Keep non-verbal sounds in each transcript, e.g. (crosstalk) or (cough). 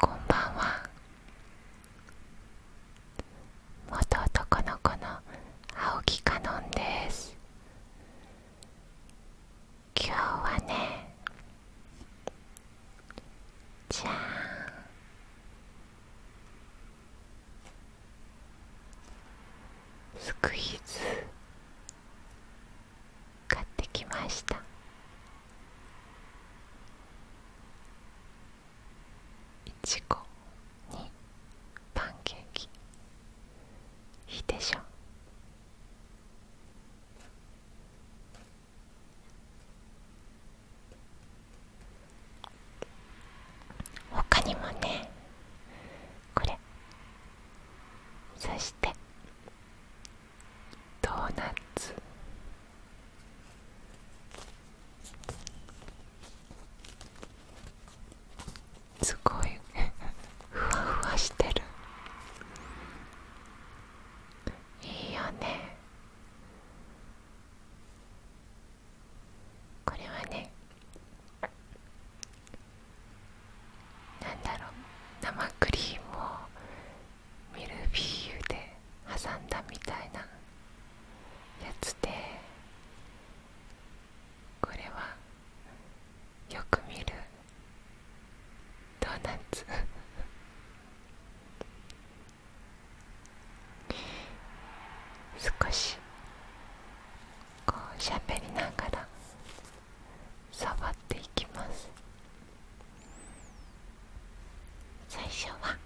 こんばんは元男の子の青木かのんです今日はねじゃースクイーズ買ってきました。いちごにパンケーキいいでしょほかにもねこれそしてドーナツすごい (laughs) ふわふわしてるいいよねこれはねなんだろう生クリームをミルフィーユで挟んだみたいなやつでこれはよく見るドーナツ (laughs) 少しこうしゃべりなんかだ。触っていきます最初は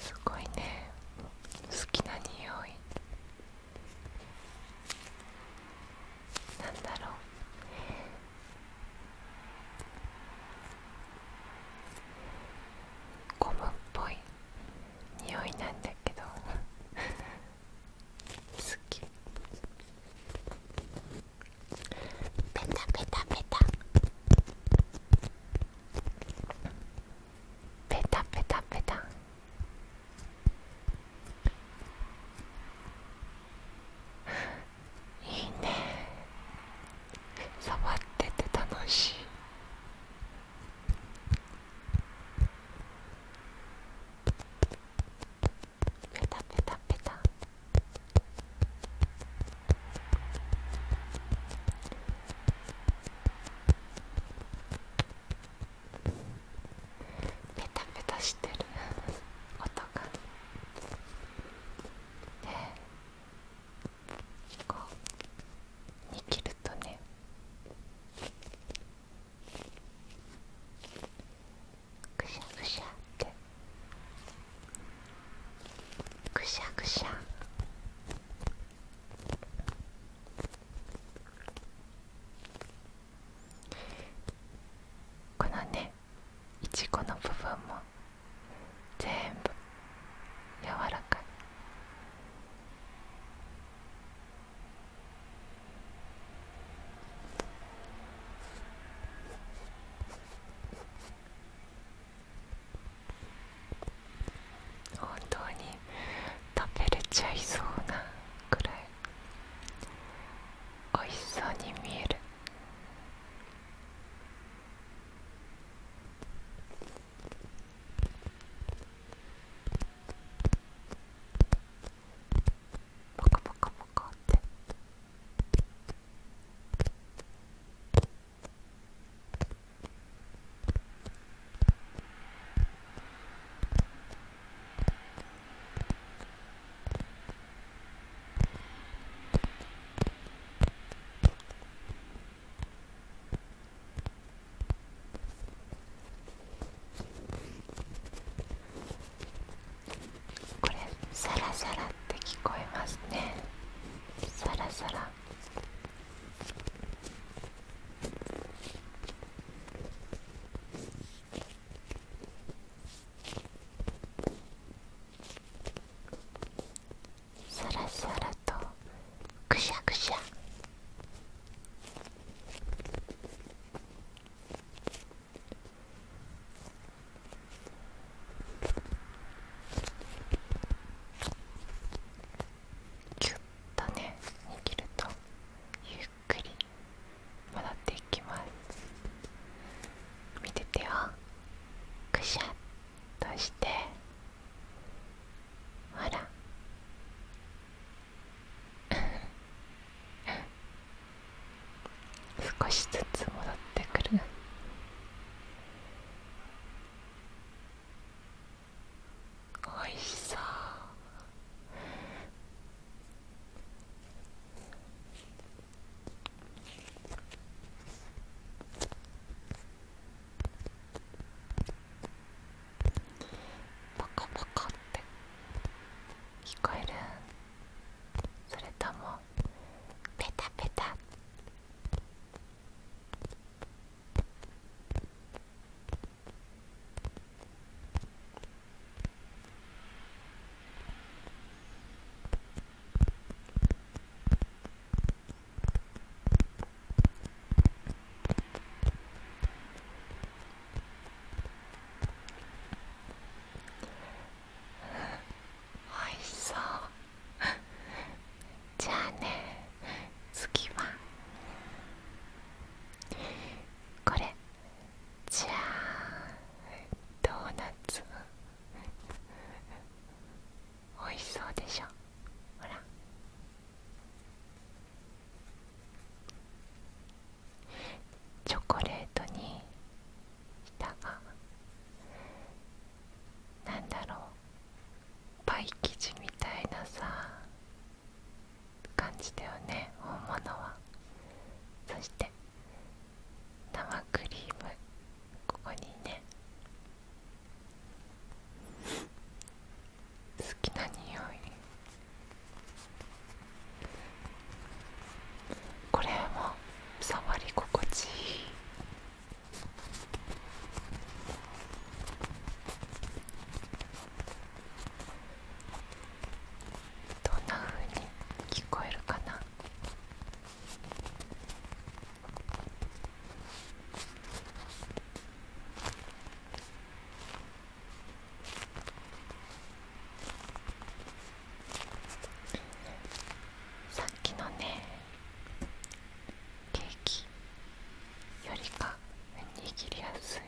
すごいね好きな匂いなんだろうゴムっぽい匂いなんだけど好きペタペタペタペタペタペタいいね触ってて楽しいペタペタペタペタペタしてる音がでこう握るとねぐしゃぐしゃってぐしゃぐしゃこのねいちごの部分も全部柔らかい本当に食べれちゃいそうなくらいおいしそうに見えるモコモコモコってこれサラサラって聞こえますねサラサラサラサラとくしゃくしゃキュッとね握るとゆっくり戻っていきます見ててよくしゃっとしてほら少しずつ戻ってくるおいしそうパカパカって聞こえるそれともペタペタうん。おいしそうじゃあね次はこれじゃあドーナツおいしそうでしょほらチョコレートに舌がなだろうパイ生地みたいなさ感じだよね本物はそして生クリームここにね好きな匂いこれも触り心地いいどんな風に聞こえるかなさっきのねケーキよりか握りやすい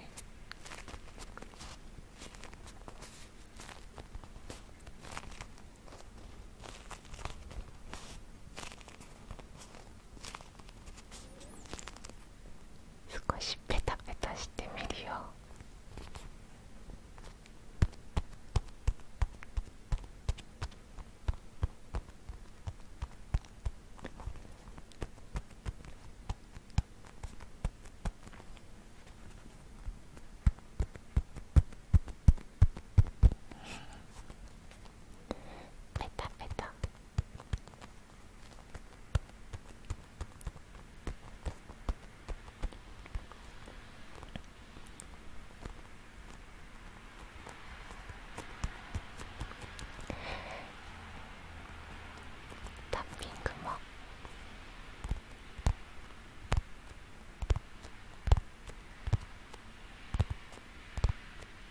少しペタペタしてみるよペタペタタッピングも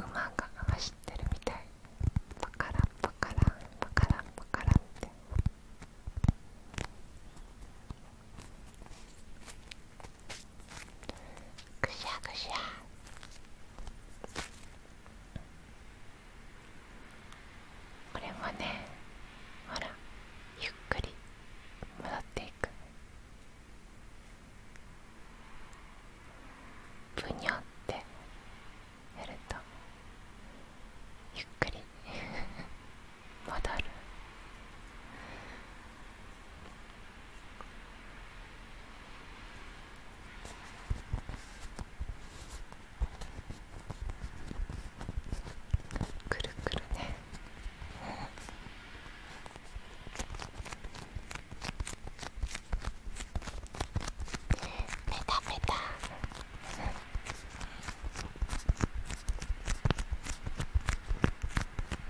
馬が走ってるみたいバカランパカランパカランパカランって。ぐしゃぐしゃこれもねほらゆっくり戻っていくぷにょってやるとゆっくりわるくるくるねペタペタ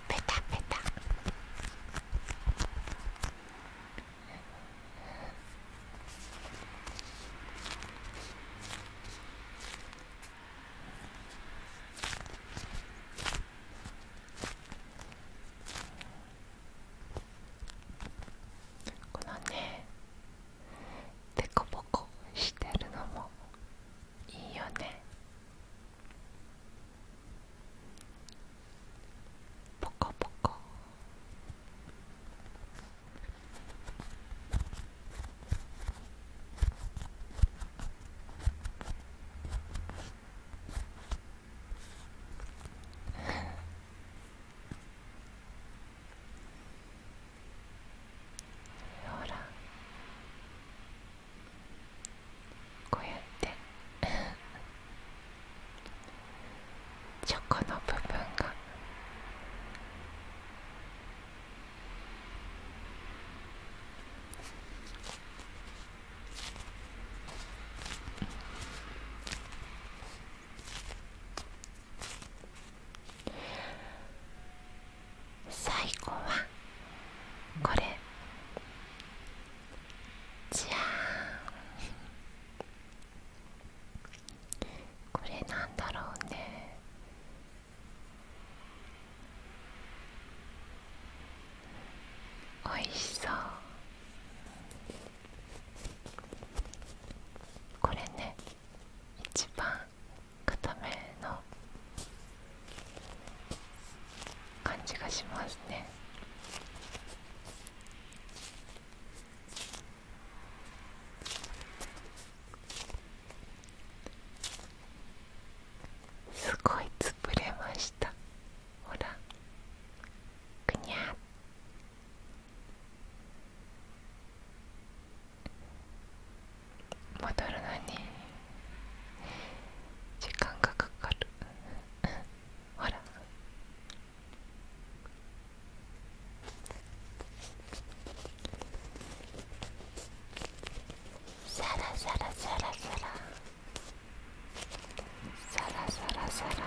ペタペタこのねでこぼこしてるのもいいよねポコポコ (laughs) ほらこうやって (laughs) チョコの部分が最後はこれじゃあ。これなんだろうねおいしそうこれね一番固めの感じがしますねすごいつぶれましたほらくにゃっ戻るのに時間がかかるほらサラサラサラサラサラサラサラ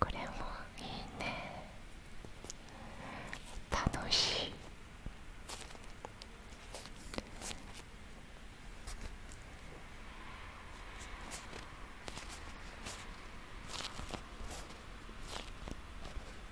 これもいいね楽しい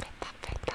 ペタペタ。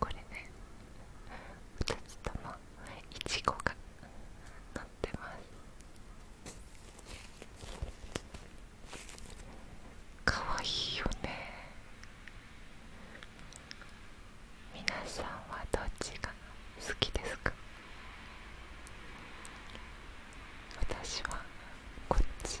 これね2つともいちごがのってますかわいいよね皆さんはどっちが好きですか私はこっち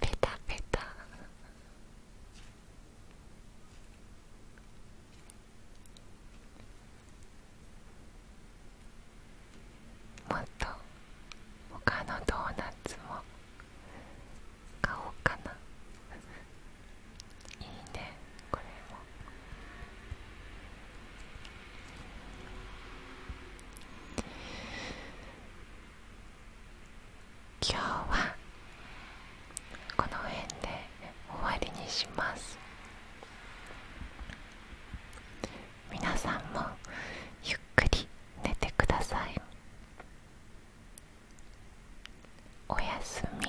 ペタペタもっと他のドーナツも買おうかないいねこれも今日はこの辺で終わりにします皆さんもゆっくり寝てくださいおやすみ